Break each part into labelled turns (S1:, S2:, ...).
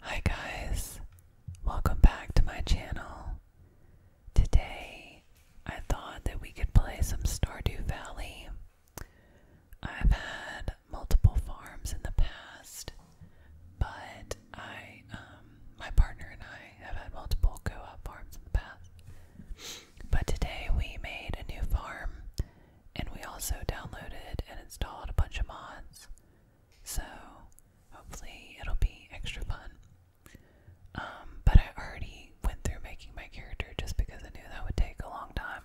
S1: Hi guys, welcome back to my channel. Today I thought that we could play some Stardew Valley. I've had multiple farms in the past, but I, um, my partner and I have had multiple go-up farms in the past. But today we made a new farm and we also downloaded and installed a bunch of mods. So hopefully it'll be extra fun. Um, but I already went through making my character just because I knew that would take a long time.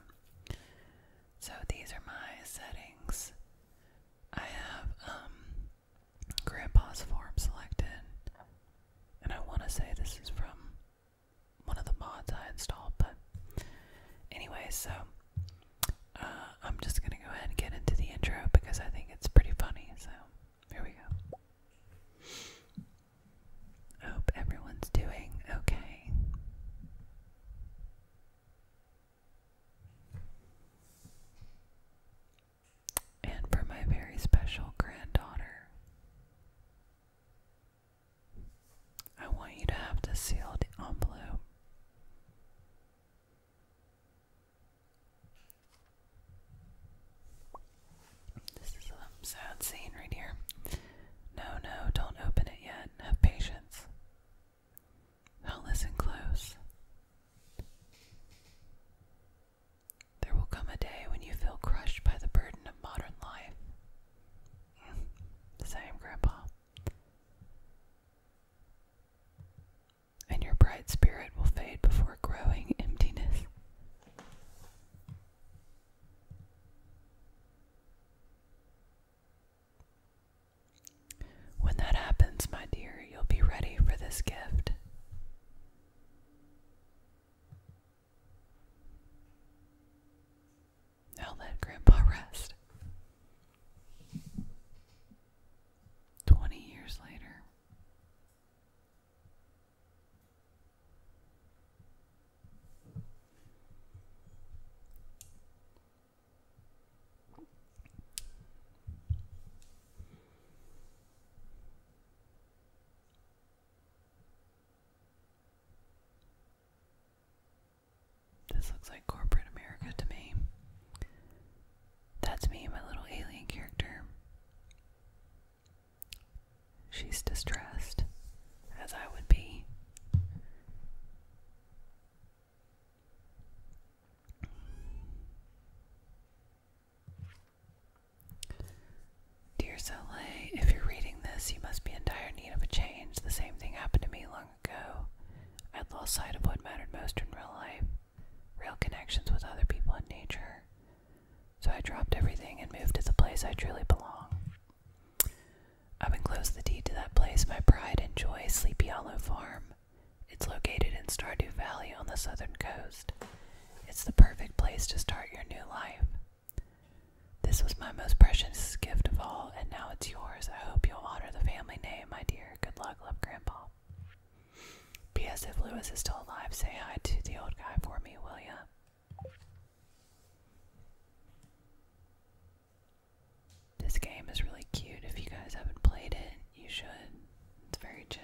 S1: So these are my settings. I have um form selected. And I wanna say this is from one of the mods I installed, but anyway, so uh, I'm just gonna go ahead and get into the intro because I think it's pretty funny. So here we go. hope everyone's doing okay. And for my very special granddaughter, I want you to have the sealed envelope. This is some sad scene right here. No, no, don't open it yet. Have patience. i listen close. There will come a day when you feel crushed by the burden of modern life. Same, Grandpa and your bright spirit will fade before growing emptiness. When that happens, my dear, you'll be ready for this gift. Now let Grandpa rest. 20 years later. This looks like corporate America to me. That's me, my little alien character. She's distressed, as I would be. Dear Soleil, if you're reading this, you must be in dire need of a change. The same thing happened to me long long I'd lost sight of what mattered most in real life real connections with other people and nature. So I dropped everything and moved to the place I truly belong. I've enclosed the deed to that place, my pride and joy, Sleepy Hollow Farm. It's located in Stardew Valley on the southern coast. It's the perfect place to start your new life. This was my most precious gift of all, and now it's yours. I hope you'll honor the family name, my dear. Good luck, love, Grandpa well. P.S. If Lewis is still alive, say hi to the old guy for me, will ya? This game is really cute. If you guys haven't played it, you should. It's very chill.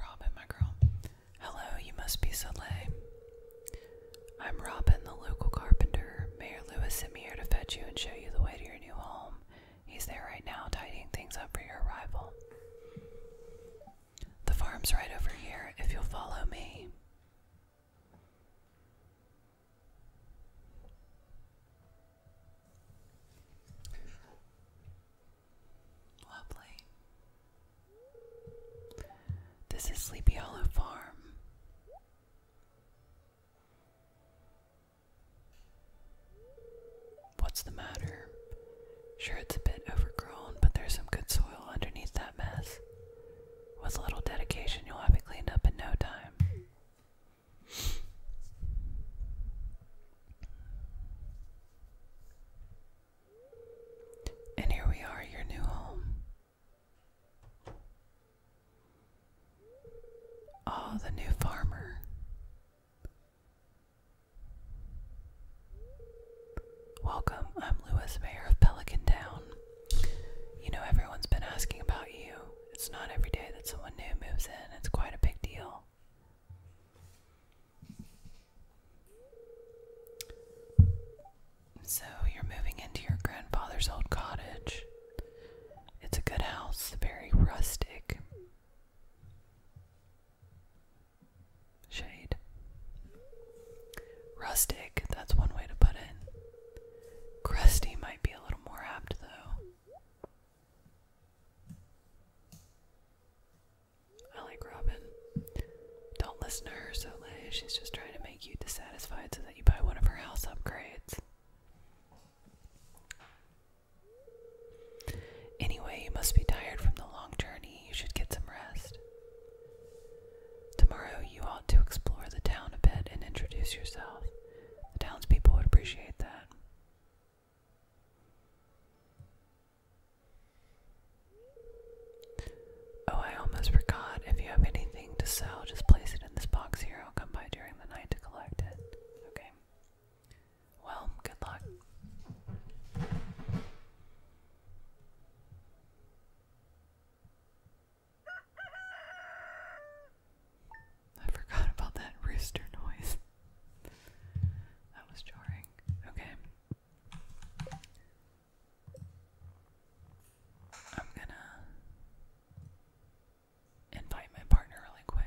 S1: Robin, my girl. Hello, you must be Soleil. I'm Robin, the local carpenter. Mayor Lewis sent me here to fetch you and show you the way to your new home. He's there right now, tidying things up for your arrival. The farm's right over here, if you'll follow me. Lovely. This is Sleepy Hollow Farm. What's the matter? Sure, it's a bit overgrown, but there's some good soil underneath that mess. With a little dedication, you'll have it cleaned up in no time. And here we are, your new home. Oh, the new farmer. Welcome, I'm Lewis, Mayor of Pelican Town. You know, everyone's been asking about you. It's not every day that someone new moves in, it's quite a big deal. So, you're moving into your grandfather's old cottage. It's a good house, very rustic. Shade. Rustic, that's one way to put it. Crusty might be a little more apt, though. I like Robin. Don't listen to her, Soleil. She's just trying to make you dissatisfied so that you buy one of her house upgrades. Anyway, you must be tired from the long journey. You should get some rest. Tomorrow, you ought to explore the town a bit and introduce yourself. The townspeople would appreciate that. Oh, I almost forgot. If you have anything to sell, just place it in this box here. I'll come by during the night to collect it. Okay. Well, good luck. I forgot about that rooster noise. that was jarring. Okay. I'm gonna invite my partner really quick.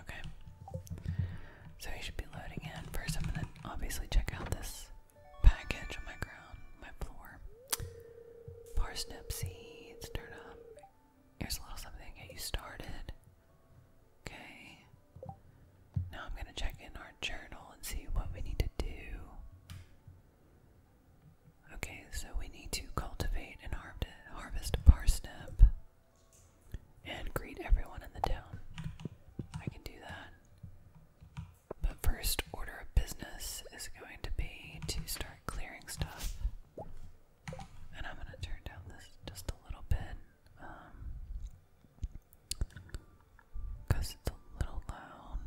S1: Okay. So we should be loading in. First, I'm going to obviously check out this package on my ground, my floor. Parsnip seeds, turn up. Here's a little something to get you started. Okay. Now I'm going to check in our journal and see what we need to do. Okay, so we need to cultivate and har harvest parsnip and greet everyone in the town. I can do that. But first order of business is going to be to start clearing stuff. And I'm going to turn down this just a little bit. Um, because it's a little loud.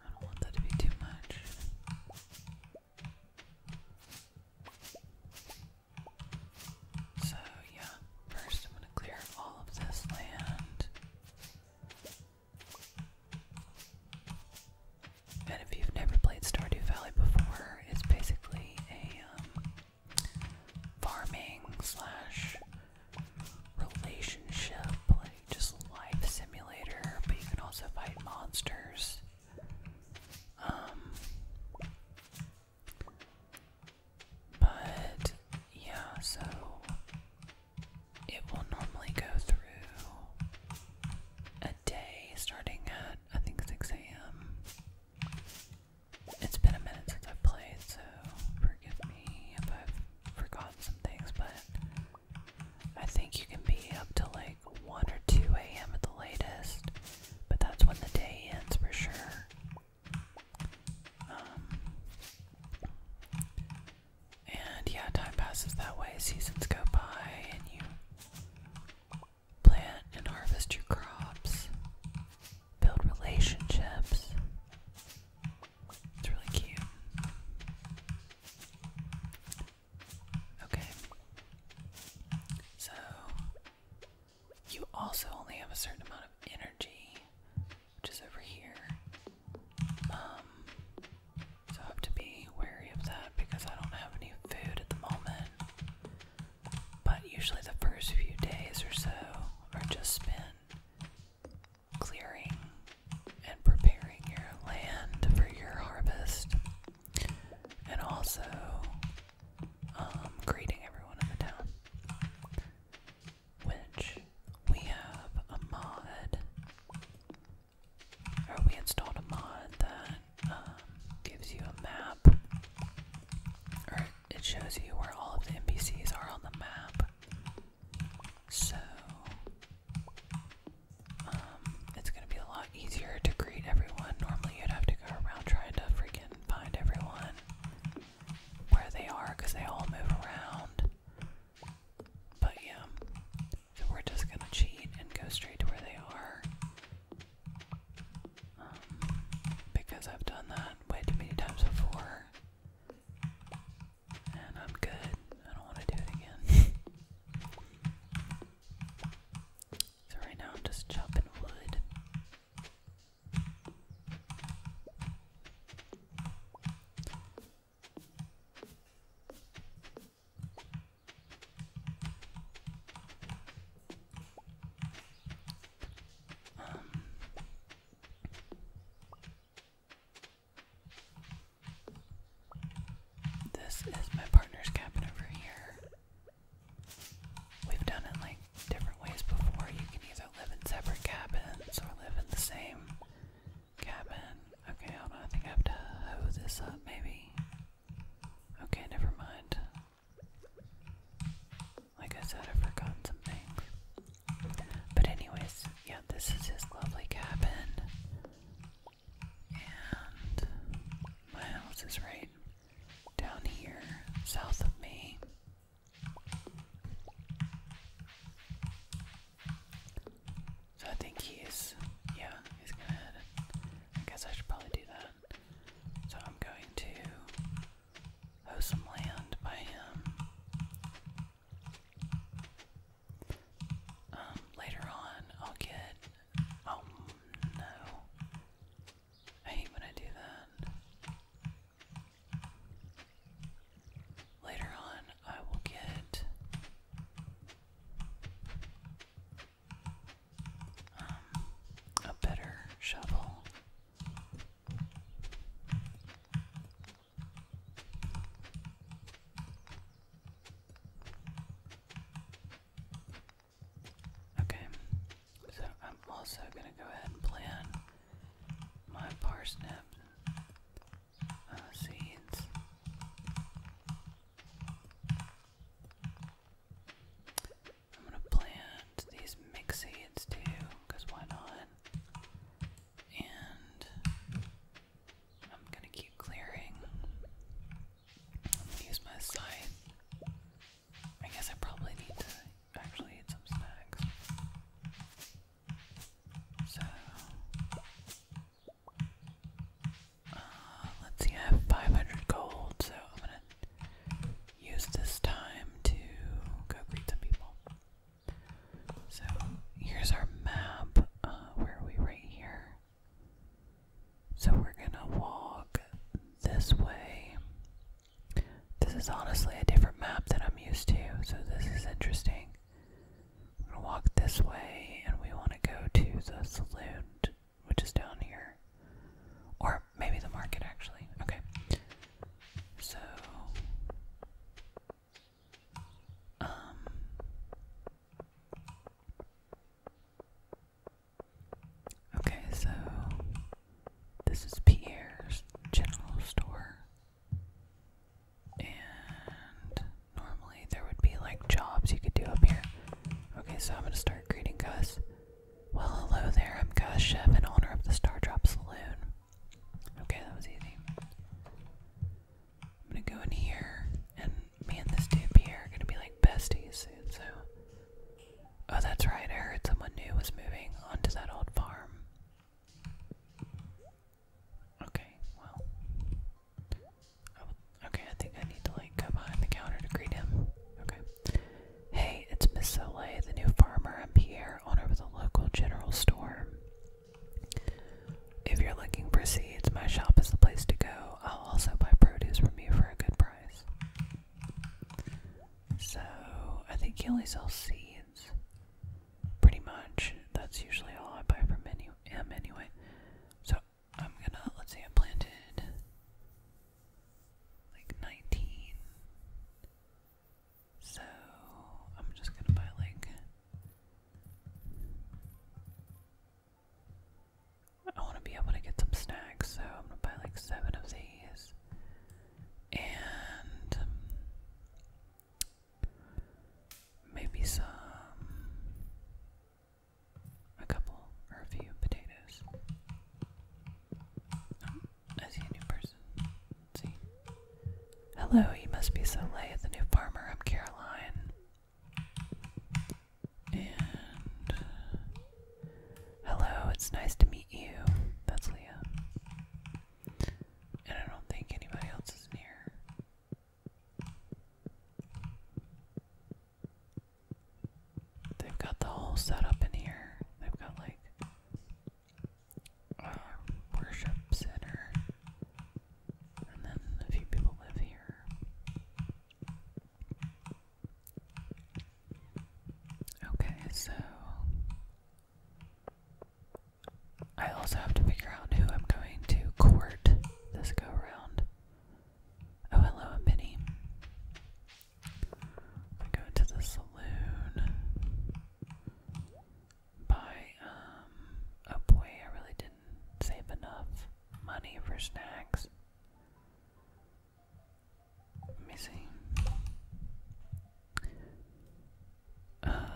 S1: I don't want that to be too much. So, yeah, first I'm going to clear all of this land. And if you've never played Stardew Valley before, it's basically a um, farming slash relationship, like just life simulator, but you can also fight monsters. Um, but yeah, so it will normally go through a day starting at I think 6 a.m. It's been a minute since i played, so forgive me if I've forgotten some things, but I think you can be up to like 1 or 2 a.m. at the latest, but that's when the day ends for sure. Um, and yeah, time passes that way, seasons go by, and you plant and harvest your crops, build relationships, it's really cute. Okay. So, you also only have a certain amount of energy, which is over here. Um, so I have to be wary of that because I don't have any food at the moment. But usually the first few days or so are just spent clearing and preparing your land for your harvest, and also um, greeting everyone in the town. Which we have a mod, or we installed a mod that um, gives you a map, or it shows you where all of the NPCs are on the map. So um it's gonna be a lot easier to greet everyone. Normally you'd have to go around trying to freaking find everyone where they are because they all move around. But yeah. So we're just gonna cheat and go straight to where they are. Um, because I've done that way too many times before. And I'm good. I don't want to do it again. so, right now I'm just chopping wood. Um, this is my partner's cabin over here. We've done it like different ways before. You can either live in separate cabins or live in the same cabin. Okay, I think I have to hoe this up, maybe. Okay, never mind. Like I said, I forgot some things. But anyways, yeah, this is his lovely cabin. And my house is right down here, south of me. So I think he's, yeah, he's gonna head. I guess I should probably do that. So I'm going to. hoe some land by him um, later on, I'll get. Oh no. I hate when I do that. Later on, I will get. Um, a better shovel. Okay, so I'm also going to go ahead and plan my parsnip uh, seeds. I'm going to plant these mixed seeds too, because why not? And I'm gonna keep clearing. I'm gonna use my scythe. I guess I probably need to actually eat some snacks. So, uh, let's see, I have 500 gold, so I'm gonna use this time to go greet some people. So here's our map. Uh, where are we? Right here. So we're gonna walk this way. This is honestly a different map that I'm used to, so this is interesting. We're gonna walk this way, and we want to go to the saloon, which is down here. Or maybe the market, actually. Okay. So um, okay, so this is Pierre's general store. And normally there would be like jobs you could do up here. Okay, so I'm gonna start greeting Gus. Well, hello there, I'm Gus, chef and owner of the Star Drop Saloon. Okay, that was easy. I'm gonna go in here, and me and this dude here are gonna be like besties soon, so. Oh, that's right, I heard someone new was moving onto that old farm. Okay, well. okay, I think I need to like go behind the counter to greet him. Okay. Hey, it's Miss Soleil, the new farmer. I'm Pierre, owner of the local general store. If you're looking for seeds, my shop is the place to go. I'll also buy produce from you for a good price. So, I think he only sells seeds. Pretty much. That's usually all I buy from menu him anyway. So, I'm gonna, let's see, I planted like 19. So I'm just gonna buy like I wanna be able to get some snacks, so I'm gonna buy like seven of these. And um, maybe some a couple or a few potatoes. I see a new person see. Hello, you must be so late, the new farmer. I'm Caroline. And uh, hello, it's nice to meet you. That's Leah. And I don't think anybody else is in here. They've got the whole setup in here. They've got like worship center, and then a few people live here. Okay, so I also have to figure out who I'm going to court this go around. Oh, hello, Penny. I go to the saloon by um boy, I really didn't save enough money for snacks. Let uh,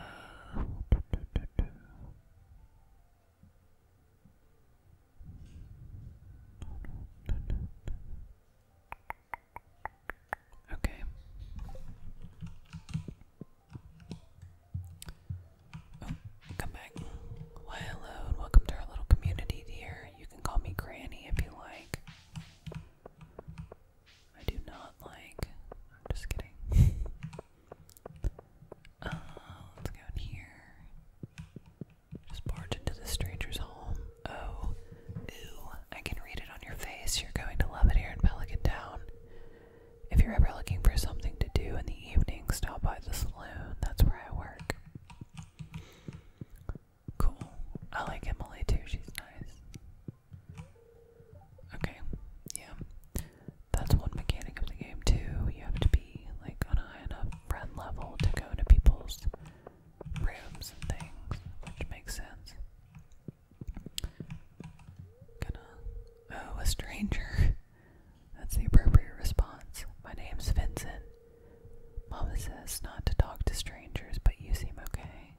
S1: Okay. Oh, come back. hello and welcome to our little community here. You can call me Granny if you like. I do not like. I'm just kidding. Uh, let's go in here. Just barge into the stranger's home. Oh, ew! I can read it on your face. You're going to love it here in Pelican Town. If you're ever looking for something to do in the evening, stop by the saloon. That's where I work. Cool. I like Emily too. She's nice. Okay. Yeah. That's one mechanic of the game too. You have to be like on high enough friend level to go to people's rooms and things, which makes sense. Oh, a stranger. That's the appropriate response. My name's Vincent. Mama says not to talk to strangers, but you seem okay.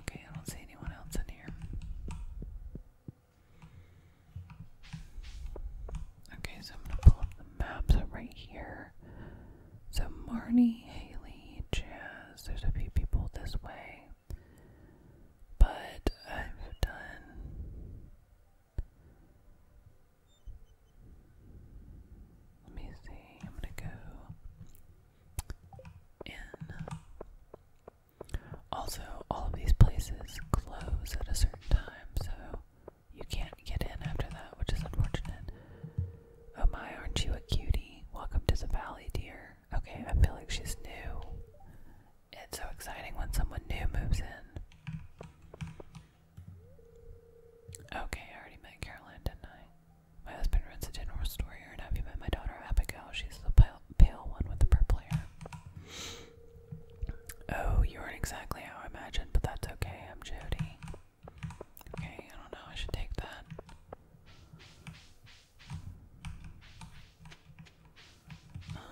S1: Okay, I don't see anyone else in here. Okay, so I'm gonna pull up the maps right here. So Marnie, Haley, Jazz, there's a few people this way. But I've done let me see, I'm gonna go in. Also, all of these places close at a certain time, so you can't get in after that, which is unfortunate. Oh my, aren't you a cutie? Welcome to the valley, dear. Okay, I feel like she's new. It's so exciting when someone new moves in. Okay, I already met Caroline, didn't I? My husband runs a general store here, and have you met my daughter Abigail? She's the pale, pale one with the purple hair. Oh, you weren't exactly how I imagined, but that's okay. I'm Jody. Okay, I don't know. I should take that. Um,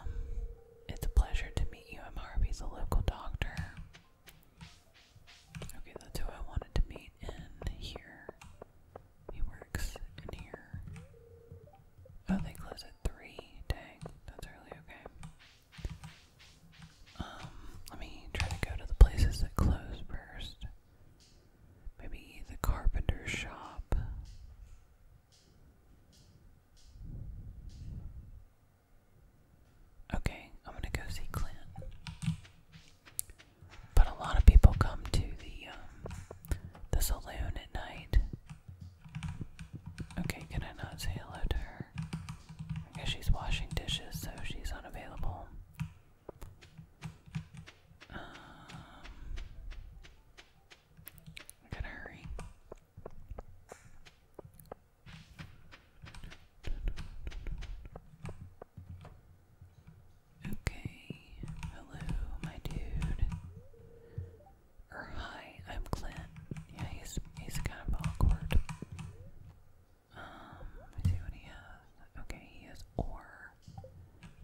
S1: it's a pleasure to meet you. I'm Harvey's a local doctor. Okay, that's who I wanted to meet in here. He works in here. Oh, they close at 3. Dang, that's early, okay. Um, let me try to go to the places that close first. Maybe the carpenter shop. Okay, I'm gonna go see Clint. But a lot of people come to the um, the saloon at night. Okay, can I not say hello to her? Because she's washing dishes, so she's unavailable. Um, I gotta hurry. Okay, hello, my dude. Or hi, I'm Clint. Yeah, he's he's kind of awkward. Um, let me see what he has. Okay, he has ore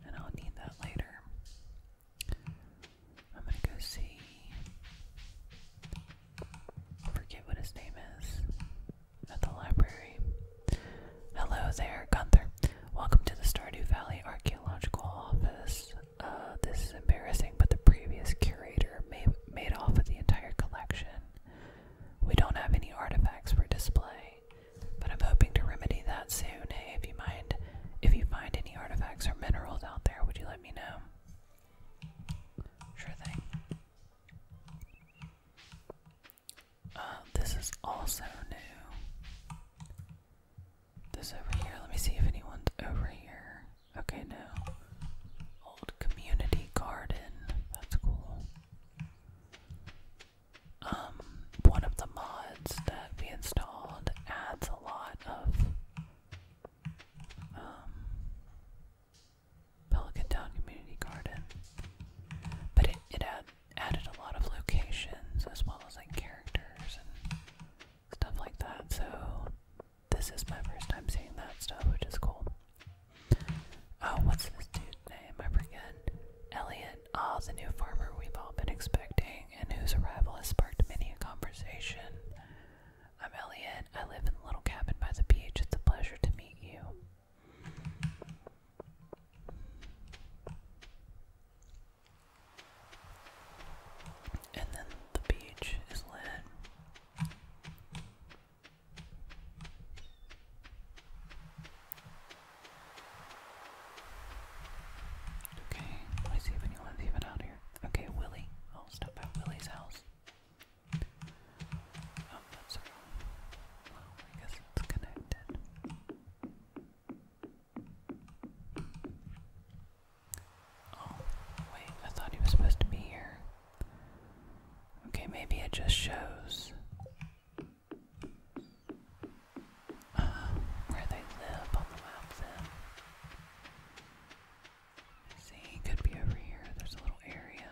S1: and I'll need that later. I'm gonna go see. forget what his name is at the library. Hello there, Gunther. Welcome to the Stardew Valley Archaeological Office. Uh, this is embarrassing, but the previous curator made, off with the entire collection. We don't have any artifacts for display. But I'm hoping to remedy that soon. Hey, if you mind, if you find any artifacts or minerals out there, would you let me know? Sure thing. Uh, this is also new. This over here. Let me see if anyone's over here. Okay, no. Old community garden. That's cool um, one of the mods that we installed adds a lot of um, Pelican Town Community Garden, but it, it added a lot of locations as well as like characters and stuff like that. So this is my first time seeing that stuff, which is cool. Oh, what's this dude's name? I forget. Elliot. Emmett, ah, the new farmer we've all been expecting, and whose arrival has sparked many a conversation. I'm Elliot. I live in the little cabin by the beach. It's a pleasure to meet you. And then the beach is lit. Okay, let me see if anyone's even out here. Okay, Willie. I'll oh, stop at Willie's house. Oh, I guess it's connected. Oh, wait, I thought he was supposed to be here. Okay, maybe it just shows uh, where they live on the map see, could be over here. There's a little area.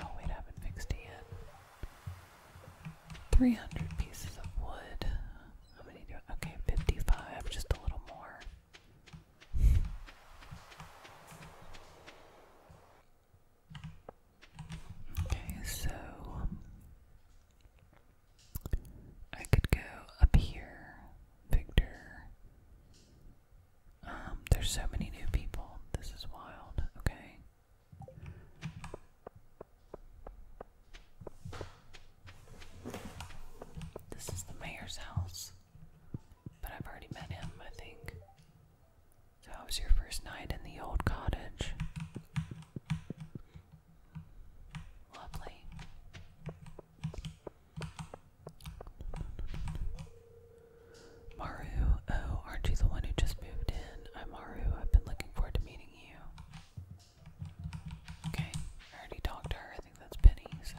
S1: Oh, wait, haven't fixed it yet. 300 pieces of wood. How many do I? Okay, 55, just a little more. Okay, so I could go up here, Victor. Um, there's so many new people. This is wild. Okay. This is the mayor's house. But I've already met him, I think. So, how was your first night in the old cottage? Lovely. Maru, oh, aren't you the one who just moved in? I'm Maru. I've been looking forward to meeting you. Okay, I already talked to her. I think that's Penny, so.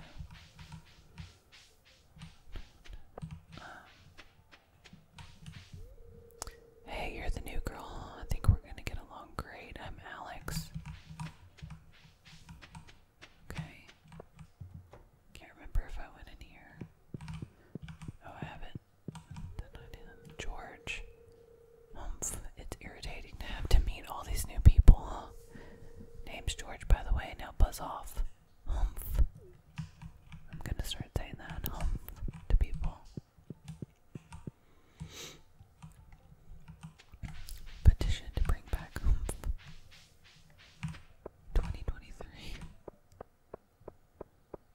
S1: Um, Hey, you're the new girl. I think we're gonna get along great. I'm Alex. Okay. Can't remember if I went in here. Oh, I haven't. George. Humph. It's irritating to have to meet all these new people. Name's George, by the way. Now buzz off. Humph. I'm gonna start saying that. Humph to people. Petition to bring back 2023.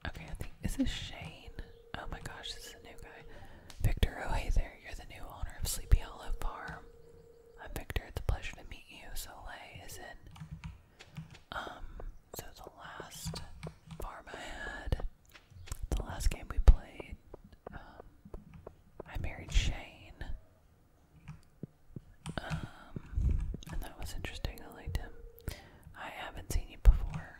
S1: Okay, I think is Shane? Oh my gosh, this is a new guy. Victor, oh hey there, you're the new owner of Sleepy Hollow Farm. I'm Victor, it's a pleasure to meet you. So, Soleil is it? Um, so the last farm I had the last game we played, um, I married Shane. Um, and that was interesting. I liked him. I haven't seen you before.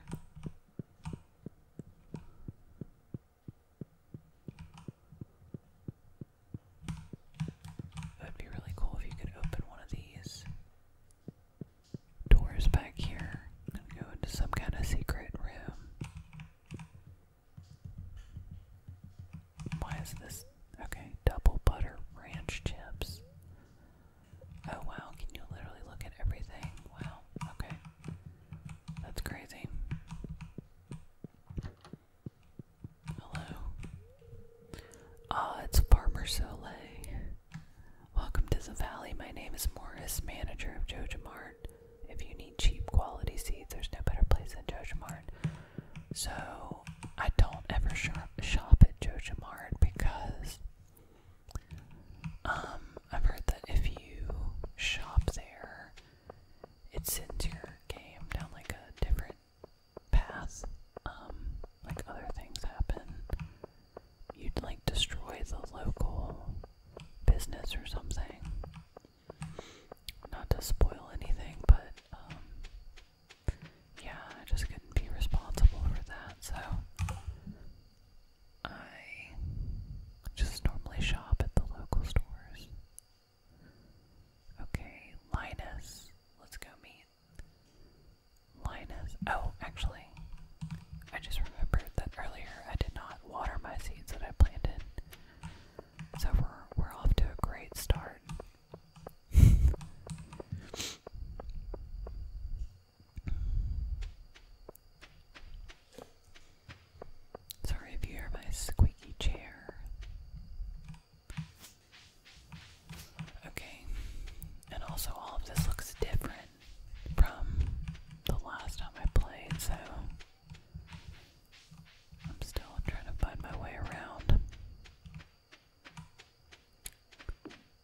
S1: It would be really cool if you could open one of these doors back here and go into some kind of secret room. Why is this? Okay, double butter ranch chips. Oh wow, can you literally look at everything? Wow, okay. That's crazy. Hello. Ah, it's Farmer Soleil. Welcome to the valley. My name is Morris, manager of Jojo Mart. If you need cheap quality seeds, there's no better place than Jojo Mart. So I don't ever shop at Jojo Mart because um, I've heard that if you shop there, it sends your game down like a different path. Um, like other things happen you'd like destroy the local business or something. Not to spoil anything, but um, yeah, I just couldn't be responsible for that, so I just normally shop at the local stores. Okay, Linus, let's go meet Linus. Oh, actually, I just remembered that earlier I did not water my seeds that I planted. So we're off to a great start. Sorry if you hear my squeaky chair. Okay. And also all of this looks different from the last time I played, so I'm still trying to find my way around.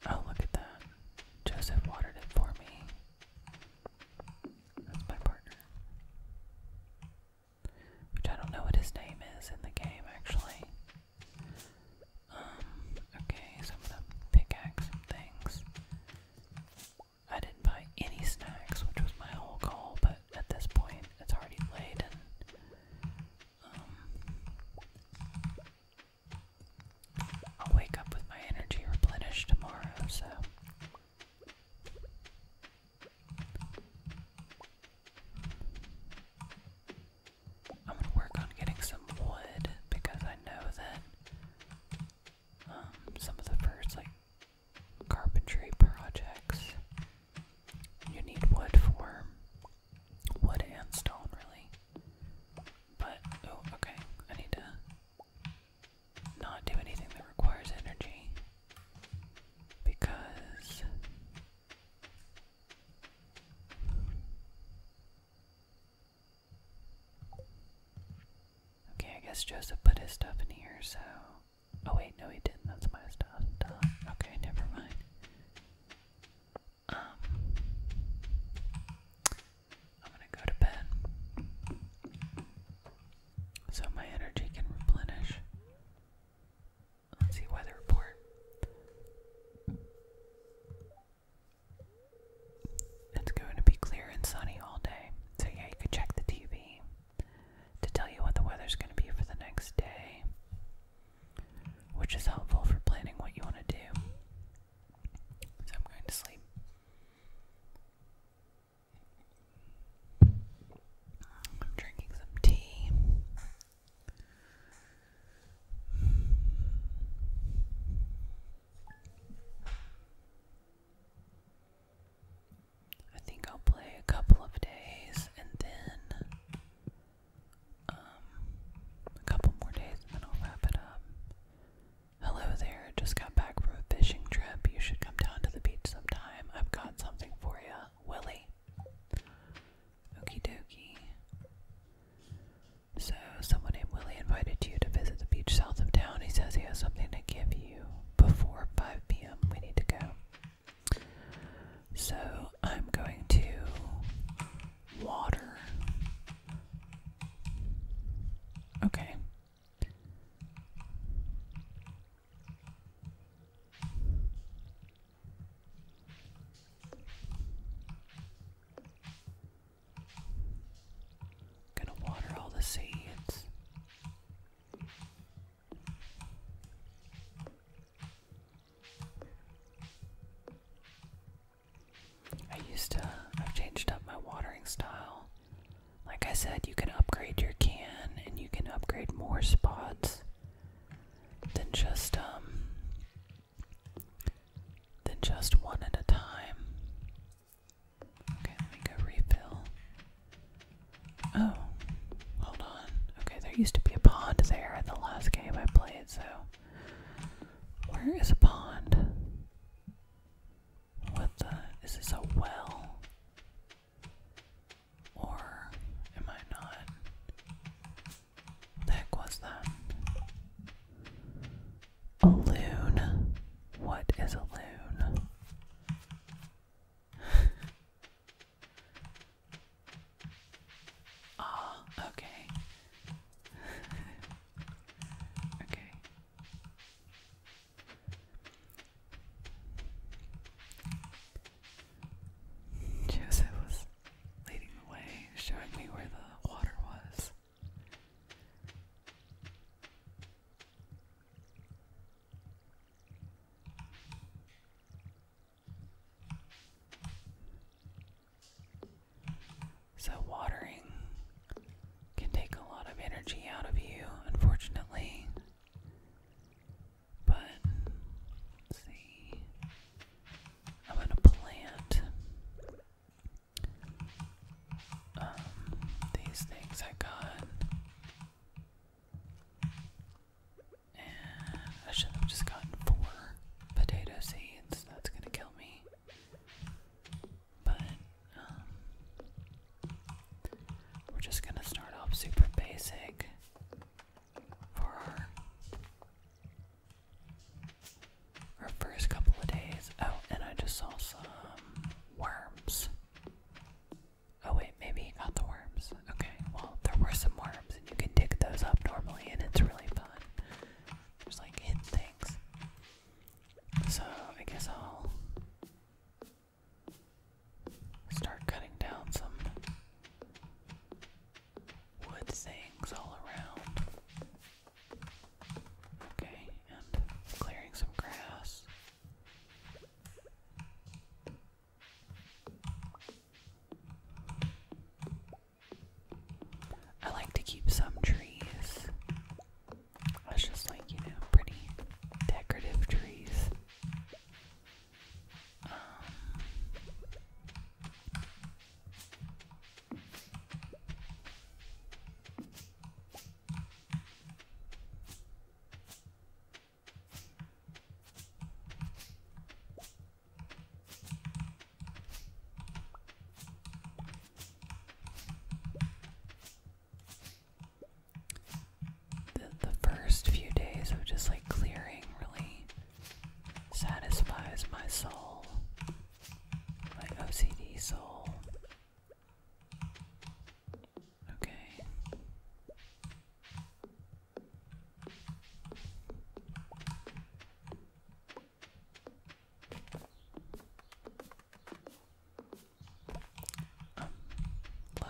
S1: Oh, look at that. Joseph watered it for me. That's my partner. Which I don't know what his name is in the game, actually. Um, okay, so I'm pickaxe things. I didn't buy any snacks, which was my whole goal, but at this point it's already late and um, I'll wake up with my energy replenished tomorrow, so I'm gonna work on getting some wood because I know that um, some of the first like carpentry projects. You need wood for wood and stone, really. But oh, okay. I need to not do anything that requires energy because. Okay, I guess Joseph put his stuff in here, so. Oh, wait, no, he didn't. That's my stuff. Okay, never mind. Um. I'm gonna go to bed. So my energy can replenish. Let's see, weather report. It's going to be clear and sunny all day, so yeah, you can check the TV to tell you what the weather's going to be for the next day, which is helpful for planning what you want to do. So I'm going to sleep. I'm drinking some tea. I think I'll play a couple of days and then um, a couple more days and then I'll wrap it up. Hello there, just got back from a fishing trip. You should come down to the beach sometime. I've got something for you, Willie. Okie dokie. So, someone named Willie invited you to visit the beach south of town. He says he has something to give you before 5 p.m. We need to go. So I'm going to water. Okay. Gonna water all the seeds. I used to, I've changed up my watering style. Like I said, you can upgrade your can and you can upgrade more spots than just, um, than just one at a time. Okay, let me go refill. Oh, hold on. Okay, there used to be a pond there in the last game I played, so. Where is a pond? What the? Is this a well? Or am I not? heck was that? A loon. What is a loon? Ah, okay. okay. Joseph was leading the way, showing me where the water was. So, watering can take a lot of energy out of you, unfortunately. But, see. I'm going to plant um, these things I got. And I should have just gotten four potato seeds. That's gonna kill me. But, um, we're just gonna start off super basic for our, our first couple of days. Oh, and I just saw some worms. Oh wait, maybe not the worms. Okay, well there were some worms and you can dig those up normally and it's really fun. There's like hidden things. So I guess I'll start cutting down some wood things all around. Okay, and clearing some grass. I like to keep some trees. That's just like, you know, pretty decorative trees. Um, the, first few days of just like clearing really satisfies my soul, my OCD soul. Okay. Um,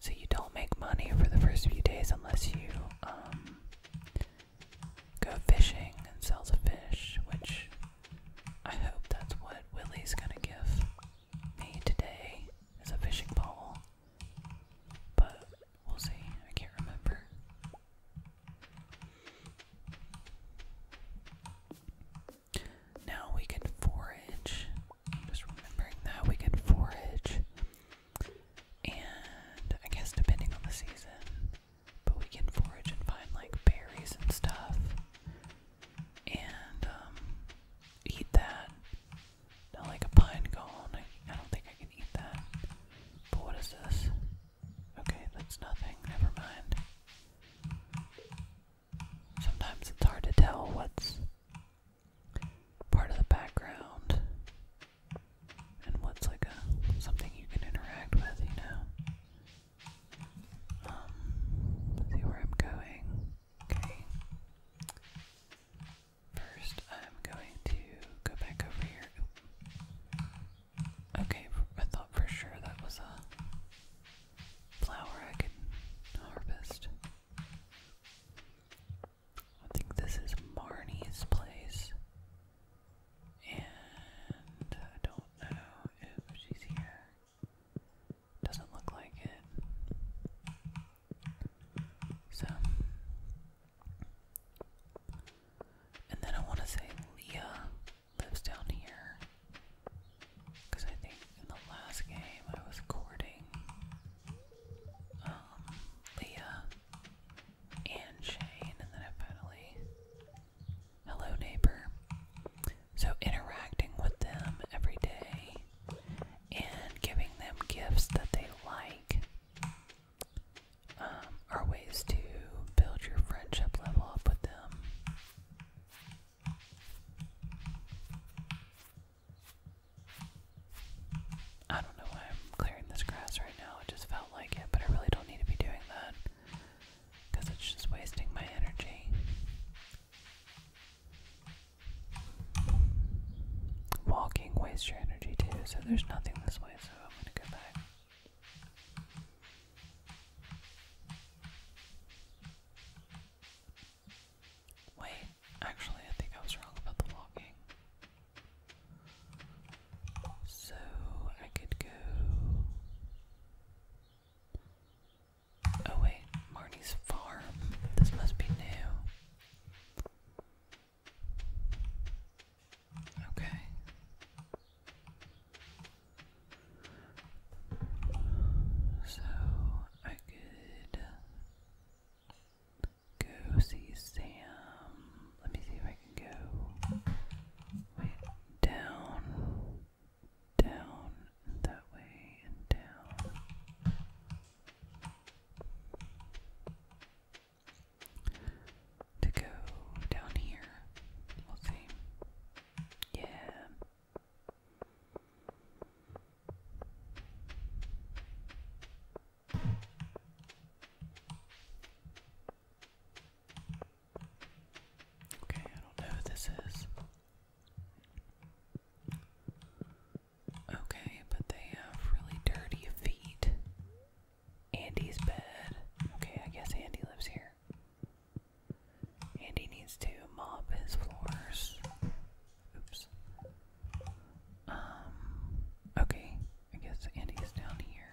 S1: so you don't make money for the first few days unless you um, go fishing and sell the fish, which I hope that's what Willie's gonna give me today is a fishing pole. But we'll see. I can't remember. Now we can forage. just remembering that we can forage. And I guess depending on the season, but we can forage and find like berries and stuff and um, eat that. Now, like a pine I don't think I can eat that. But what is this? Okay, that's nothing. Never mind. Sometimes it's hard to tell what's part of the background and what's like a something you can interact with, you know. Um, see where I'm going. Okay. First, I'm going to go back over here. Okay, I thought for sure that was a flower I could harvest. I think this is Marnie's place. And I don't know if she's here. Doesn't look like it. So. And then I want to say Leah lives down here. Because I think in the last game I was courting um, Leah and Shane, and then finally Hello, neighbor. So, interacting with them every day and giving them gifts that they like um, are ways to build your friendship level up with them. I don't know why I'm clearing this grass right now. It just felt like it, but I really don't need to be doing that because it's just wasting my energy. Walking wastes your energy too, so there's nothing this way, so I'm gonna go back. Wait, actually, I think I was wrong about the walking. So I could go. Oh wait, Marnie's farm. This must be new. Okay. So I could go see Sam. Let me see if I can go wait down down that way and down. To go down here, we'll see. Yeah. Okay, I don't know who this is. Okay, but they have really dirty feet. Andy's bed. Okay, I guess Andy lives here. Andy needs to mop his floors. Oops. Um, okay, I guess Andy's down here.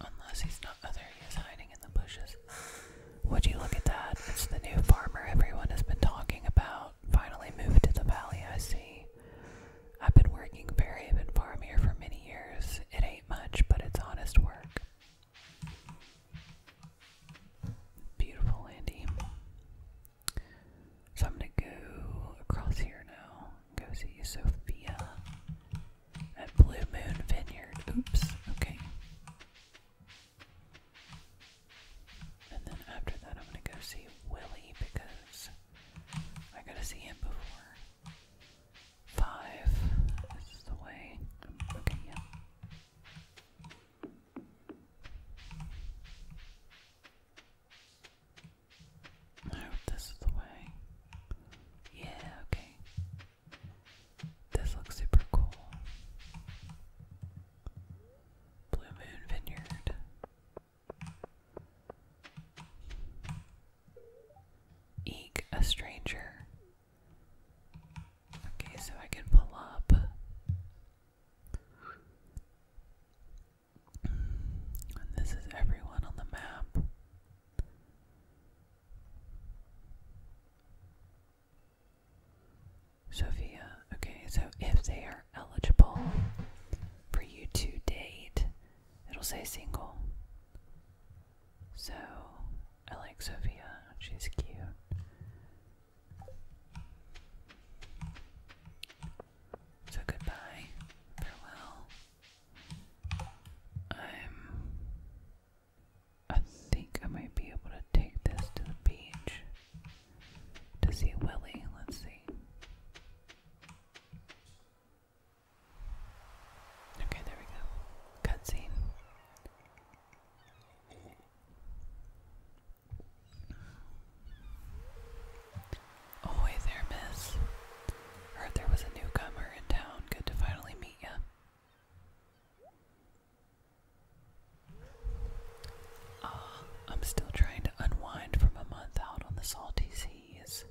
S1: Unless he's not other, oh, he is hiding in the bushes. Would you look at that? It's the new farmer everyone has been talking about. Finally moved to the valley, I see. I've been working very hard Fairhaven Farm here for many years. It ain't much, but it's honest work. Beautiful, Andy. So I'm gonna go across here now. Go see Sophia at Blue Moon Vineyard. Oops, okay. And then after that, I'm gonna go see Willie because I gotta see him before five. This is the way. Okay, yeah. I hope this is the way. Yeah, okay. This looks super cool. Blue Moon Vineyard. Eek, a stranger. Okay, so I can pull up this is everyone on the map. Sophia, okay, so if they are eligible for you to date, it'll say single. So, I like Sophia, she's cute. So, goodbye, farewell, I'm. I think I might be able to take this to the beach to see Willie. Let's see. Okay, there we go. Cutscene. Oh, hey there, miss. Heard there was a newcomer in town. Good to finally meet ya. Ah, I'm still trying to unwind from a month out on the salty seas.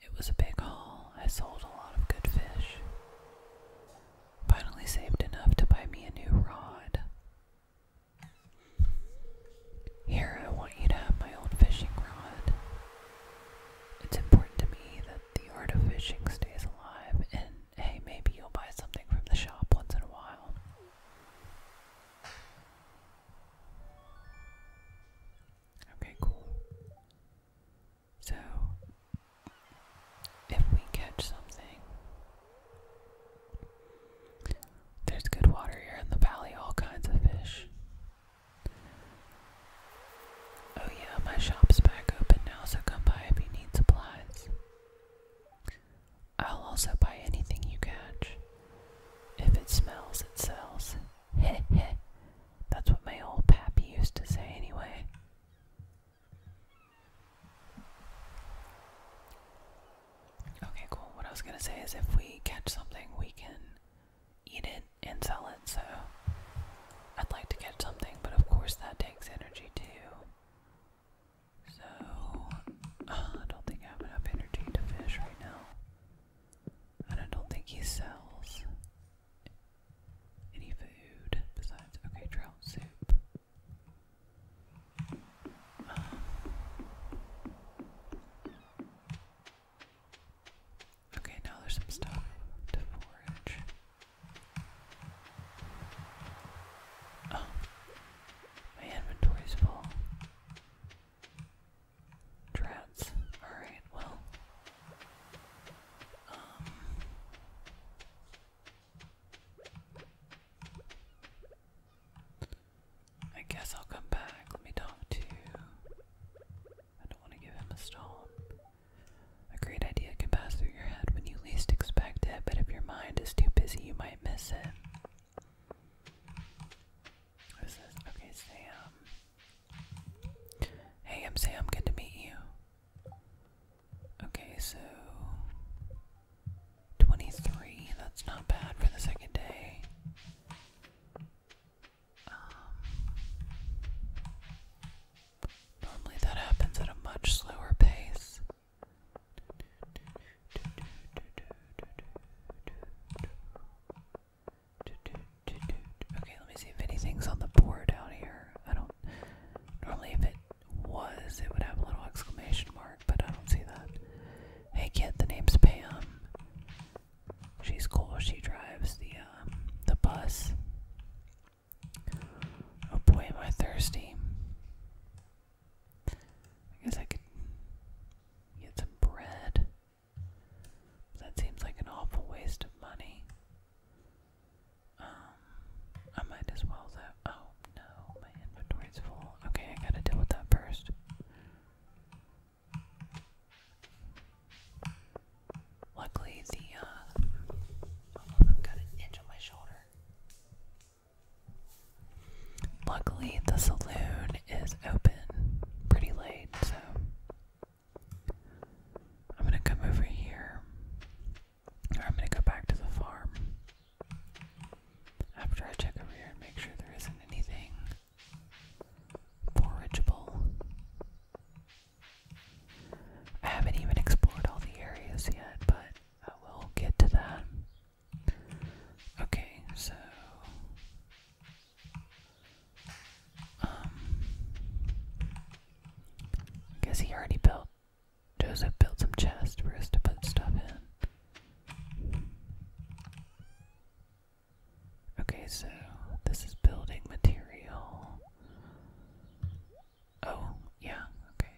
S1: It was a big haul. I sold a lot of good fish. Finally saved enough to buy me a new rod. Here, I want you to have my old fishing rod. It's important to me that the art of fishing stays alive, and hey, maybe you'll buy something from the shop once in a while. Okay, cool. So, if we catch something, there's good water here in the valley, all kinds of fish. Oh, yeah, my shop's back open now, so come by if you need supplies. I'll also buy anything you catch. If it smells, it sells. Heh heh. That's what my old pappy used to say, anyway. Okay, cool. What I was gonna say is if we catch something, we can eat it and sell it, so I'd like to get something, but of course that takes energy too. So, uh, I don't think I have enough energy to fish right now. And I don't think he sells any food besides, okay, trout soup. Um, Okay, now there's some stuff to forage. Oh, my inventory's full. Drats. Alright, well. Um, I guess I'll come back. Let me talk to you. I don't want to give him a stone. A great idea can pass through your head when you least expect it, but if your mind is too busy, you might miss it. What is this? Okay, Sam. Hey, I'm Sam. Good to meet you. Okay, so. 23. That's not bad for the second day. Um, normally that happens at a much slower pace. Okay, let me see if anything's on the board out here. I don't normally if it was it would have a little exclamation mark, but I don't see that. Hey kid, the name's Pam. She's cool. She drives the um, the bus. Oh boy, am I thirsty. I guess I could get some bread. That seems like an awful waste of money. Um, I might as well though. Oh no, my inventory's full. Okay, I gotta deal with that first. Luckily, the uh, I've got an itch on my shoulder. Luckily, the saloon is open pretty late, so I'm gonna come over here, or I'm gonna go back to the farm after I check over here and make sure there isn't anything forageable. I haven't even explored all the areas yet, but I will get to that. Okay, so um I guess he already built Joseph built some chests for us to put stuff in. Okay, so this is building material. Oh, yeah, okay.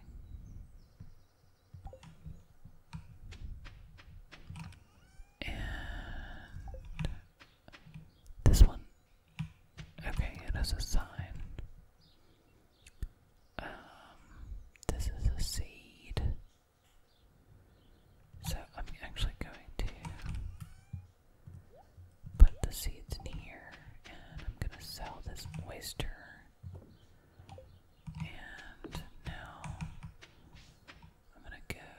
S1: And this one. Okay, it is a sign. Um, this is a seed. So I'm actually going to put the seeds in here, and I'm gonna sell this moisture. And now I'm gonna go.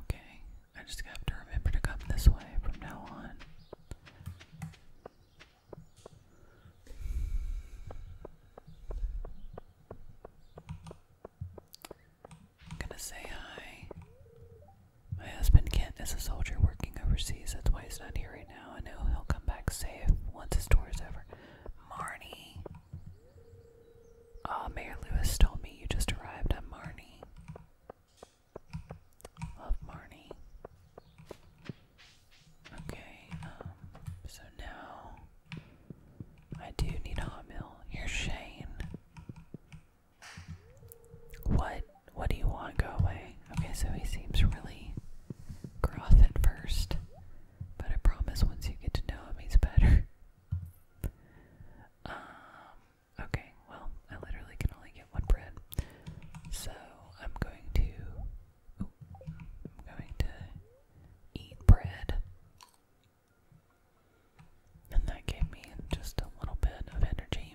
S1: Okay, I just have to remember to come this way from now on. I'm gonna say hi. My husband Kent is a soldier working overseas. That's why he's not here right now. I know he'll come back safe once his tour is over. Marnie. Mayor Lewis told me you just arrived. i Marnie. Love Marnie. Okay, um, so now I do need hot meal. You're Shane. What? What do you want? Go away. Okay, so he seems really gruff at first, but I promise once you get to know him, he's better. Um, okay, well, I literally can only get one bread, so I'm going to I'm going to eat bread. And that gave me just a little bit of energy.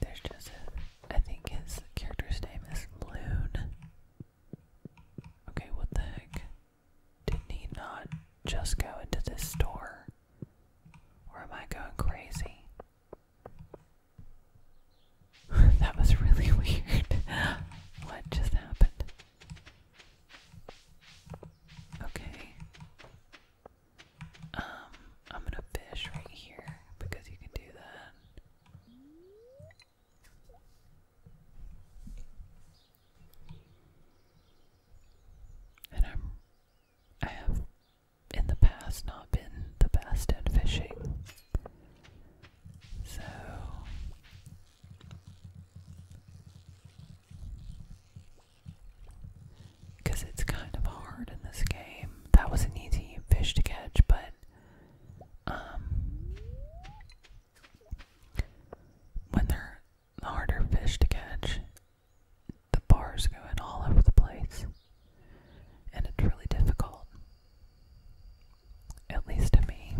S1: There's just a, I think his character's name is Loon. Okay, what the heck? did he not just go into this store? Or am I going crazy? that was really weird. what just happened? Okay. Um, I'm gonna fish right here because you can do that. And I'm I have in the past not been the best at fishing. So because it's kind of hard in this game. That was an easy fish to catch, but um, when they're harder fish to catch, the bars going all over the place. And it's really difficult. At least to me.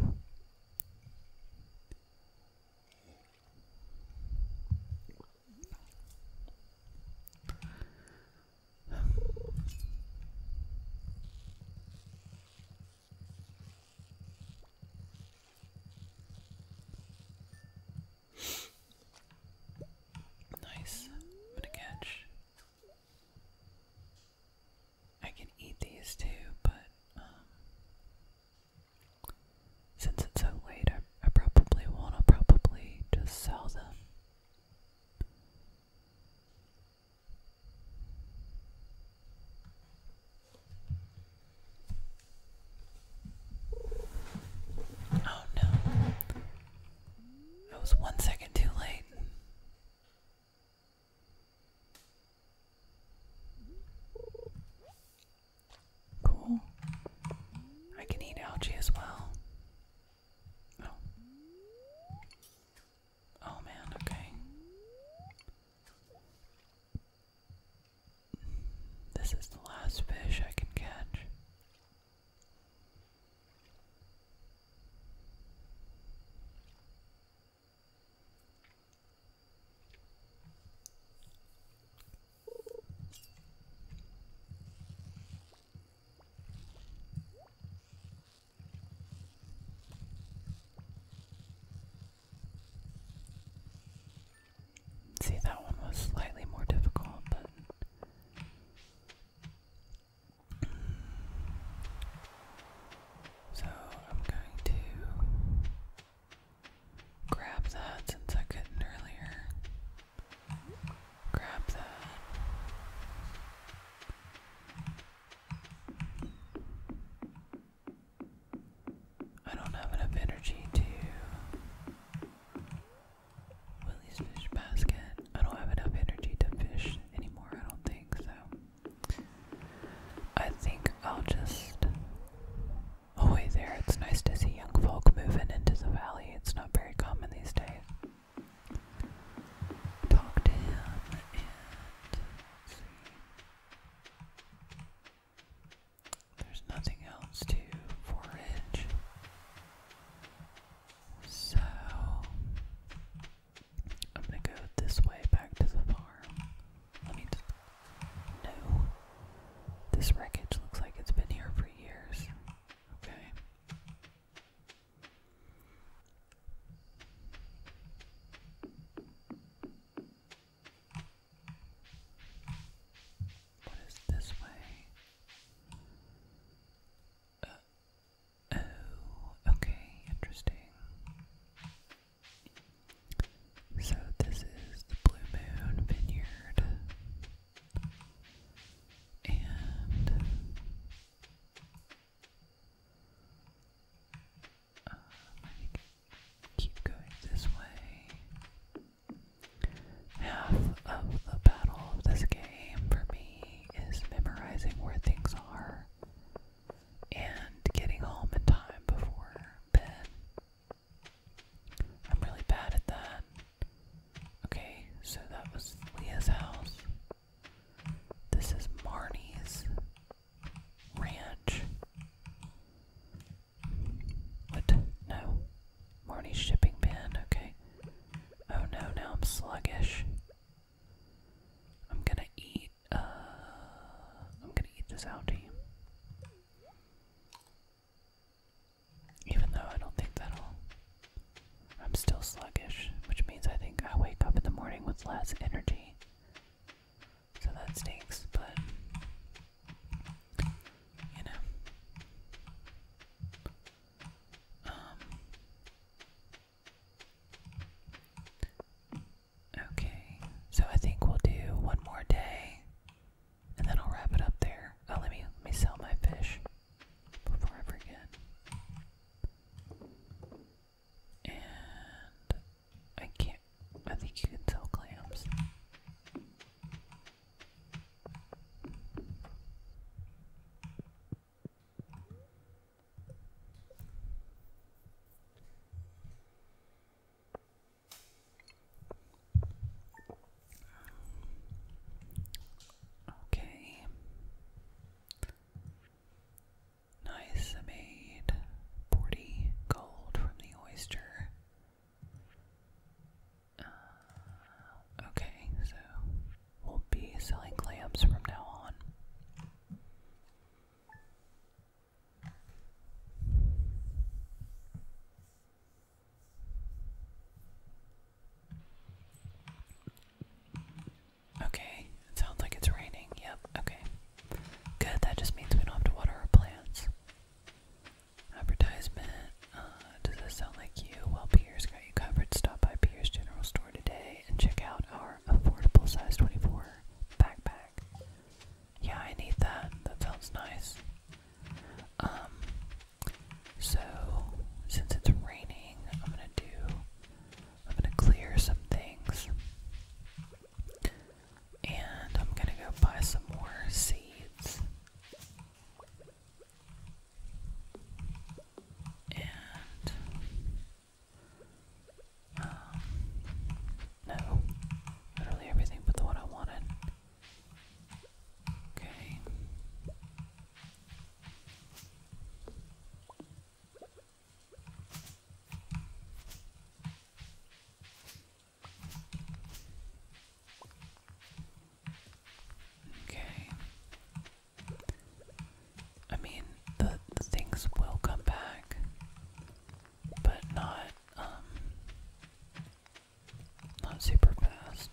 S1: nice. i catch I can eat these too, but um, since it's so late, I, probably won't. i probably just sell them. Oh no. I was one second too late. Cool. I can eat algae as well. Oh. Oh man, okay. This is the last fish I can catch. See, that one was slightly more difficult, but so I'm going to grab that since I couldn't earlier. Grab that. I don't have enough energy to Willie's fish basket. I don't have enough energy to fish anymore, I don't think, so. I think I'll just. Oh, wait, there. It's nice to see young folk moving into the valley. It's not very common these days. Talk to him and. see. There's nothing else to forage. So I'm gonna go this way back to the farm. no. This wreckage looks like it's been here for years. Okay. What is this way? Uh, Oh, okay, interesting. So, this is the Blue Moon Vineyard. And um, I think keep going this way. Half of the battle of this game for me is memorizing where things are and getting home in time before bed. I'm really bad at that. Okay, so that was Leah's house. This is Marnie's ranch. What? No. Marnie's shipping bin, okay. Oh no, now I'm sluggish. I'm gonna eat. Uh, I'm gonna eat this algae, even though I don't think that'll. I'm still sluggish, which means I think I wake up in the morning with less energy. So that stinks, but you know. Um, okay, so I think we'll do one more day, and then I'll wrap it up there. Oh, let me let me sell my fish before I forget. And I can't. I think you can sell clams. Okay. Nice, I made 40 gold from the oyster. Uh, okay, so we will be selling clams from now on. Okay, it sounds like it's raining. Yep, okay. Good, that just means we don't have to water our plants. Advertisement. Uh, does this sound like you? Well, Pierce got you covered. Stop by Pierce General Store today and check out our affordable size 24 backpack. Yeah, I need that. That sounds nice. Um, so since it's raining, I'm gonna do. I'm gonna clear some things, and I'm gonna go buy some more seeds. And um, no, literally everything but the one I wanted. Okay. Okay. I mean, the, things will come back, but not, um, not super fast.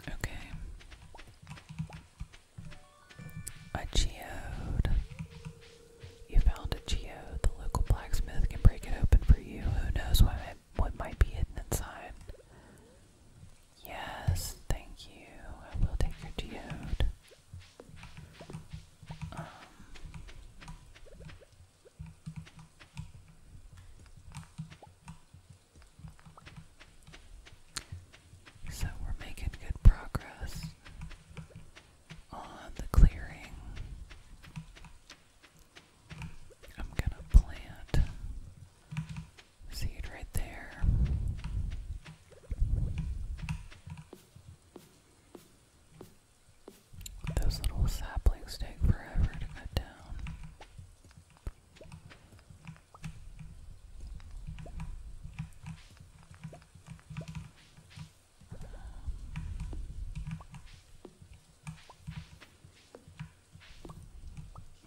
S1: Okay. A geode. You found a geo. The local blacksmith can break it open for you. Who knows what might, be hidden inside? Yes, thank you. I will take your geode. Um, so we're making good progress on the clearing. I'm gonna plant seed right there. Those little saplings take forever to cut down.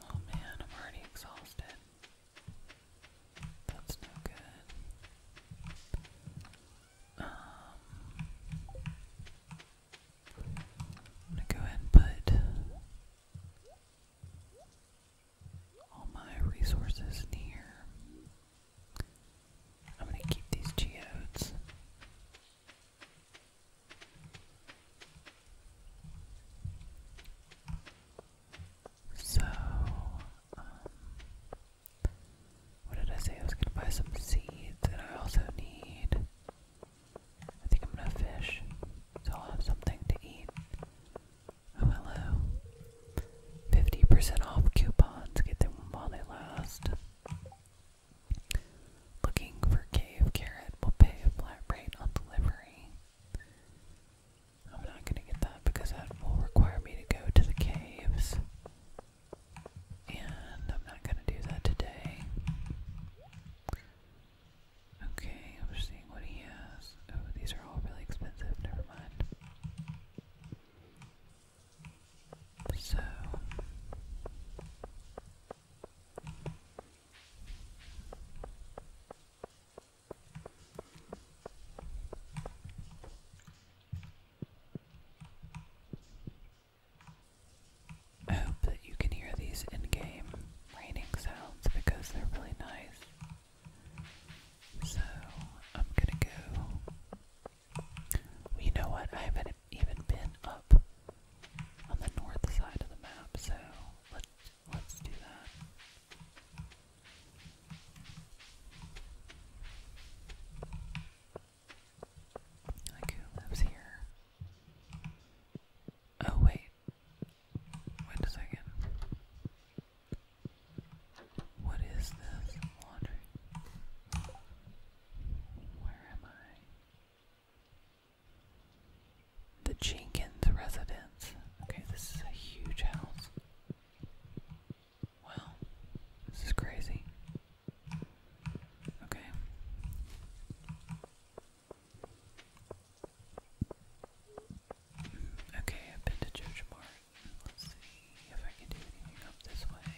S1: Oh man, I'm already exhausted. That's no good. Um, I'm gonna go ahead and put all my resources in here. I'm going to keep these geodes. So, um, what did I say? I was going to buy some seeds that I also need. I think I'm going to fish, so I'll have something to eat. Oh, hello. 50% off coupons, get them while they last. Looking for Cave Carrot will pay a flat rate on delivery. I'm not gonna get that because that will require me to go to the caves. And I'm not gonna do that today. Okay, I'm just seeing what he has. Oh, these are all really expensive, never mind. So I hope that you can hear these in game raining sounds because they're really nice. So I'm gonna go you know what? I haven't even been up on the north side of the map, so let's let's do that. Like who here? Oh wait. Wait a second. What is this laundry? Where am I? The Jenkins residence. Okay, this is a huge house. Wow, this is crazy. Okay. Okay, I've been to George Martin. Let's see if I can do anything up this way.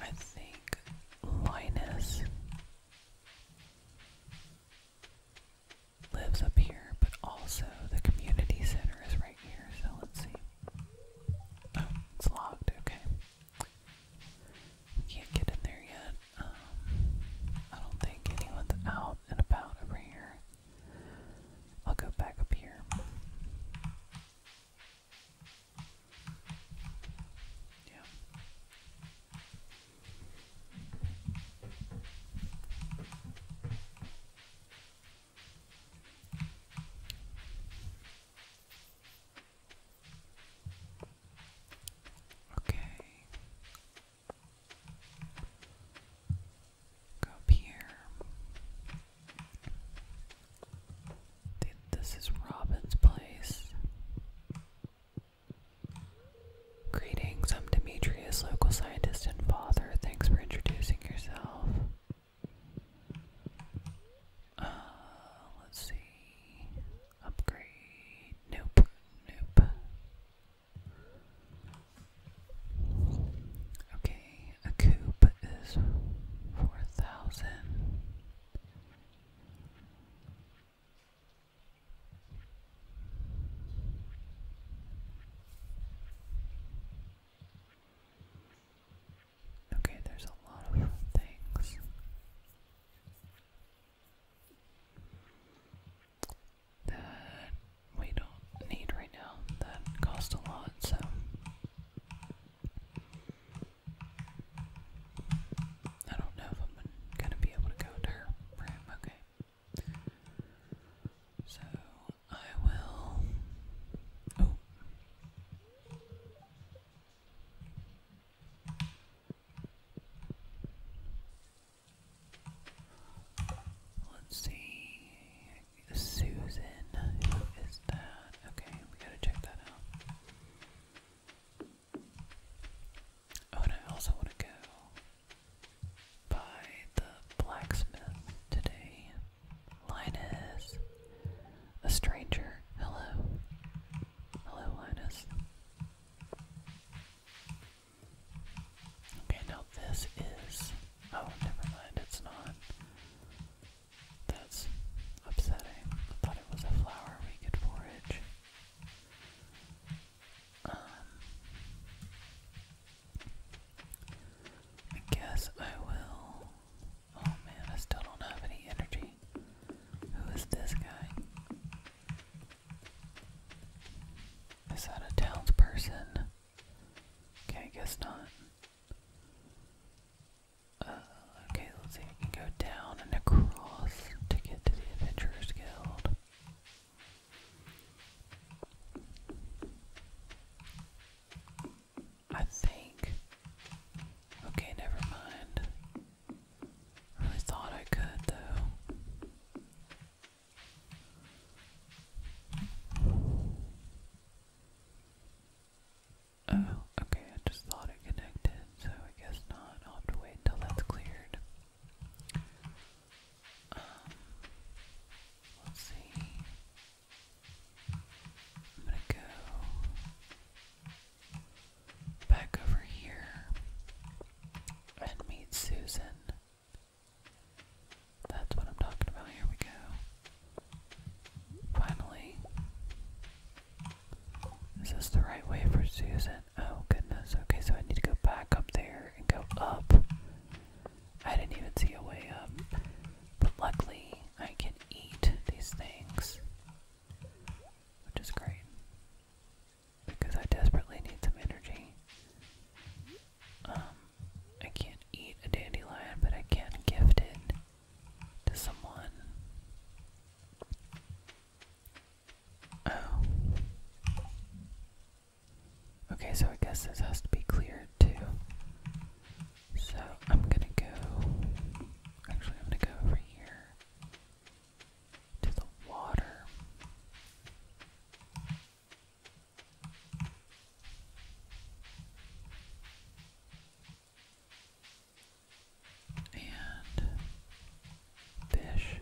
S1: I think Linus lives up here, but also the community center is right here, so let's see. Oh, it's locked, okay. Can't get in there yet. Um, I don't think anyone's out and about over here. I'll go back up here. Yeah. Okay. up here. This is Robin's place. Greetings, I'm Demetrius, local scientist and father. Thanks for introducing yourself. Uh, let's see. Upgrade. Nope. Nope. Okay, a is 4,000. Okay, there's a lot of things that we don't need right now. That cost a lot, so. I don't know if I'm gonna be able to go there for okay. So I will. Oh. Let's see. Susan, who is that? Okay, we gotta check that out. Oh, and I also want to go by the blacksmith today. Linus, a stranger. Hello. Hello, Linus. Okay, now this is. Oh, never mind, it's not. That's upsetting. thought it was a flower we could forage. Um. I guess I will. Oh man, I still don't have any energy. Who is this guy? Is that a townsperson? Okay, guess not. Uh, okay, let's see. We can go down and across to get to the Adventurers Guild. I think. Okay, never mind. I really thought I could, though. Oh, okay, I just thought it connected, so I guess not. I'll have to wait until that's cleared. Um, let's see. I'm gonna go back over here and meet Susan. That's what I'm talking about. Here we go. Finally. Is this the right way for Susan? Oh, goodness. Okay, so I need to go back up there and go up. I didn't even see a way up. But luckily, I can eat these things, which is great because I desperately need some energy. Um, I can't eat a dandelion, but I can gift it to someone. Oh. Okay, so I guess this has to be cleared too. So I'm gonna go. Actually, I'm gonna go over here to the water. And fish.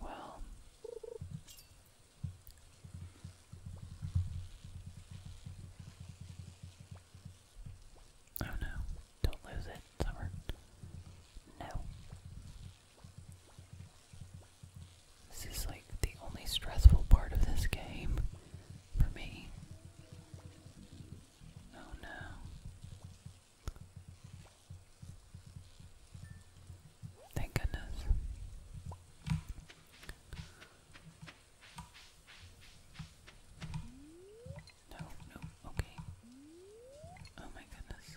S1: Well, oh no, don't lose it, Summer. No, this is like the only stressful part of this game for me. Oh no. Thank goodness. No, no, okay. Oh my goodness.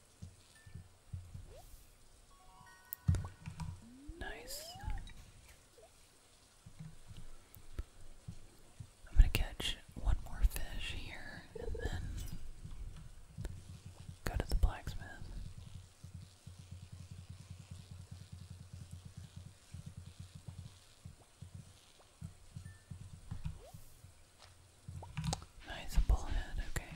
S1: Nice. I'm going to catch one more fish here and then go to the blacksmith. Nice, a okay.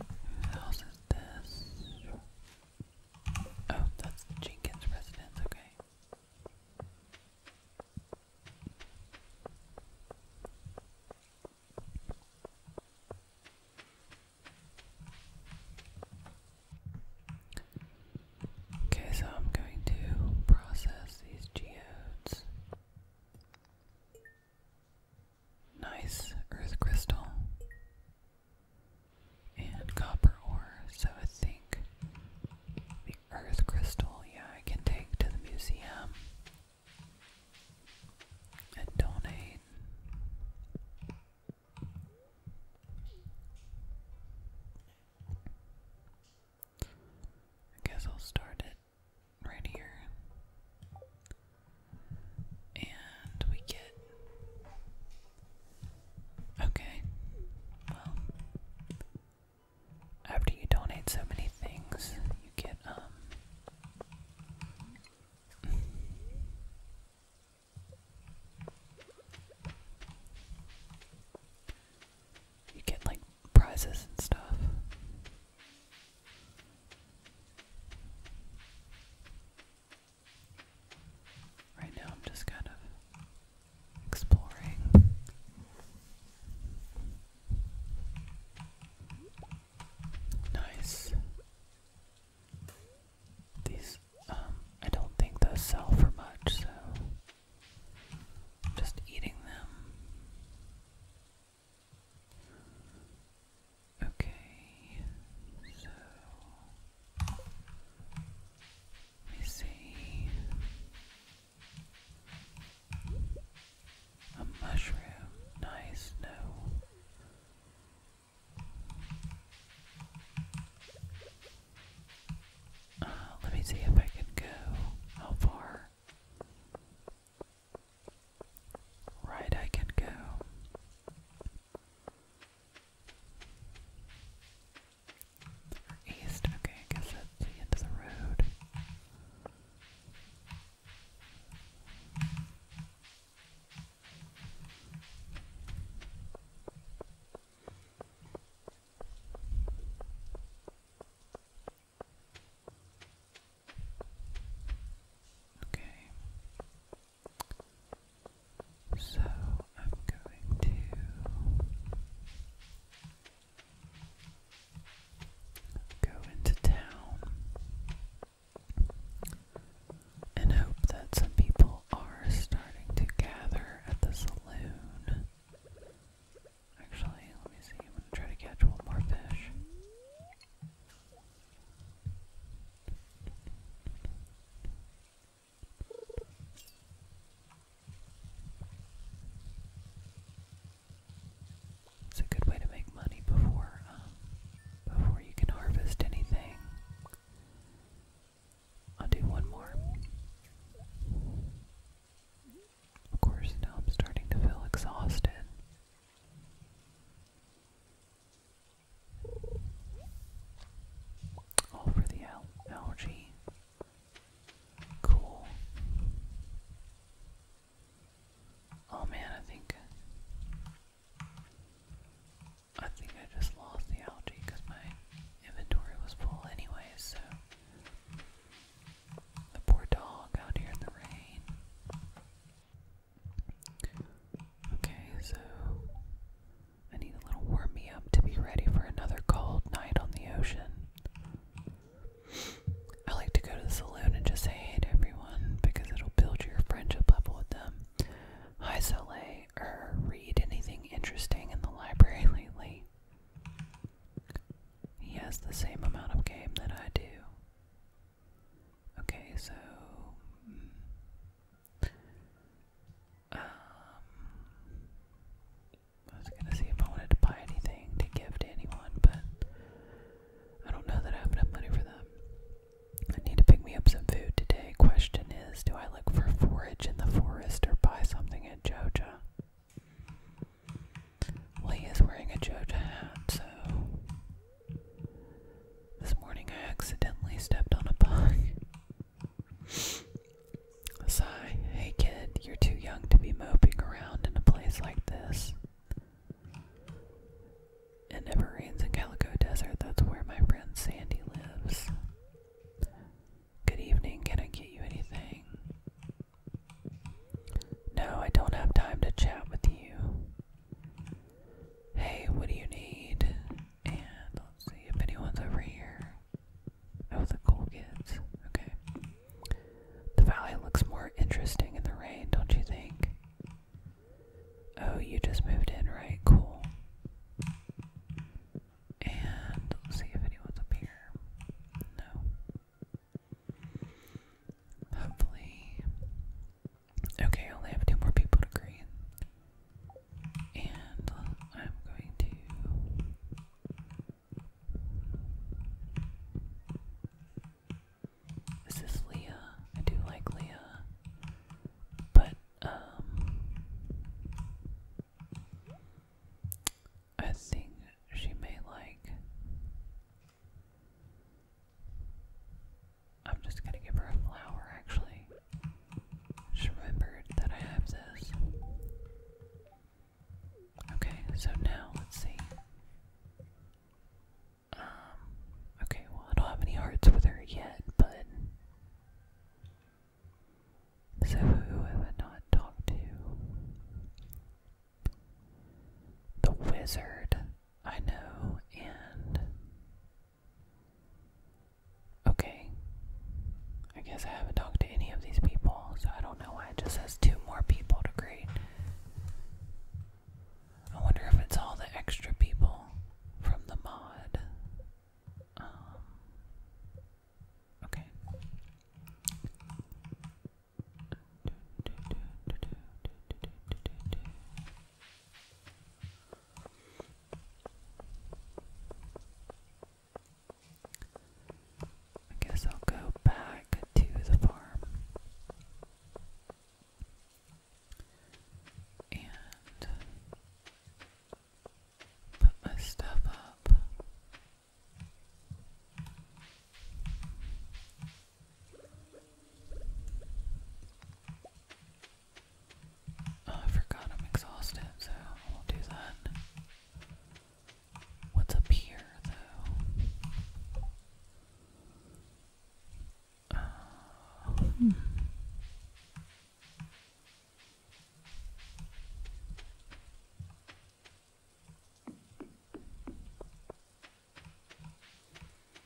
S1: Who house is this? Oh, that's Jenkins residence, okay. Okay, so I'm going to process these geodes nice earth crystal and copper ore. So I think the earth crystal, yeah, I can take to the museum and donate. I guess I'll start at right here. And we get. Okay. Well. After you donate so many things, you get, um. you get, like, prizes and stuff. Right now, I'm just kind of exploring. Nice. These, um, I don't think those sell for much, so I'm just eating them. Okay, so let me see a mushroom. Nice, no. let me see if I can go. How far? Right, I can go. East, okay, I guess that's the end of the road. Okay. So I'm going to go into town and hope that some people are starting to gather at the saloon. Actually, let me see. I'm going to try to catch one more fish. It's a good way to make money before um, before you can harvest anything. I'll do one more. Of course, now I'm starting to feel exhausted. Oh, for the algae. Cool. Oh man, I think I think I just lost the algae because my inventory was full anyway, so the poor dog out here in the rain. Okay, so I need a little warm me up to be ready for another cold night on the ocean. I like to go to the saloon and just say hi to everyone because it'll build your friendship level with them. Hi, Soleil. Or er, read anything interesting in the library lately. He has the same amount of game that I do. Okay, so hmm. um, I was gonna see if I wanted to buy anything to give to anyone, but I don't know that I have enough money for them. I need to pick me up some food today. Question is, do I look for forage in the forest or buy something at Joja? Lee is wearing a Joja hat, so this morning I accidentally stepped on a bug. Sigh, hey kid, you're too young to be moping around in a place like this. It never rains in Calico Desert, that's where my friend Sandy lives. Good evening, can I get you anything? No, I don't have time to chat with you hey, what do you need? And let's see if anyone's over here. Oh, the cool kids. Okay. The valley looks more interesting in the rain, don't you think? Oh, you just moved in, right? Cool. And let's see if anyone's up here. No. Hopefully. Okay, I only have two more people to agree. And uh, I'm going to. This is Leah. I do like Leah. But, um. I think she may like. I'm just gonna give her a flower actually. She remembered that I have this. Okay, so now let's see. Um, okay, well, I don't have any hearts with her yet, but. So, who have I not talked to? The wizard, I know, and. Okay. I guess I haven't talked to any of these people, so I don't know why it just says two more people to greet. I wonder if it's all the extra people from the mod. Um, okay. I guess I'll go back to the farm and put my stuff up. Oh, I forgot I'm exhausted, so we will do that. What's up here, though? Uh, hmm.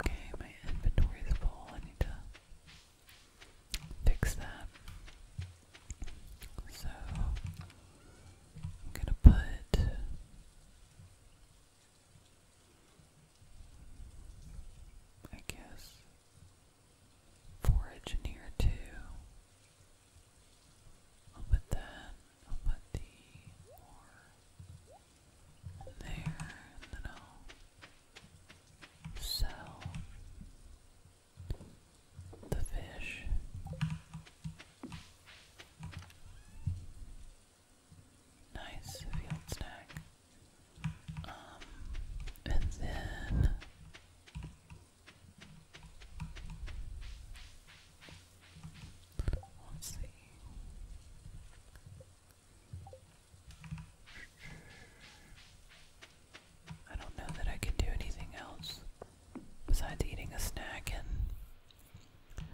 S1: Okay, my inventory is full. I need to fix that. So I'm gonna put I guess forage in too. I'll put that, I'll put the ore there, and then I'll sell the fish. Nice field snack. Um, and then let's see. I don't know that I can do anything else besides eating a snack and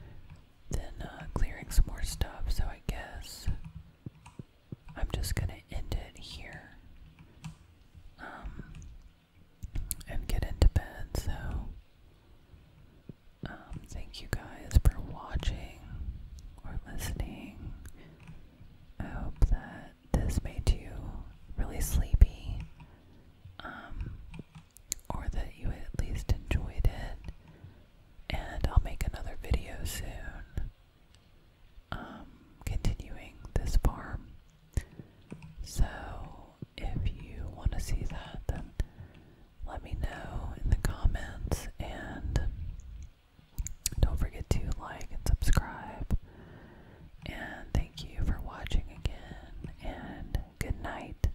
S1: then uh, clearing some more stuff, so I guess I'm just gonna end it here. Um, and get into bed. So, um, thank you guys for watching or listening. I hope that this made you really sleepy, um, or that you at least enjoyed it. And I'll make another video soon um, continuing this farm. So if you want to see that, then let me know in the comments and don't forget to like and subscribe. And thank you for watching again, and good night.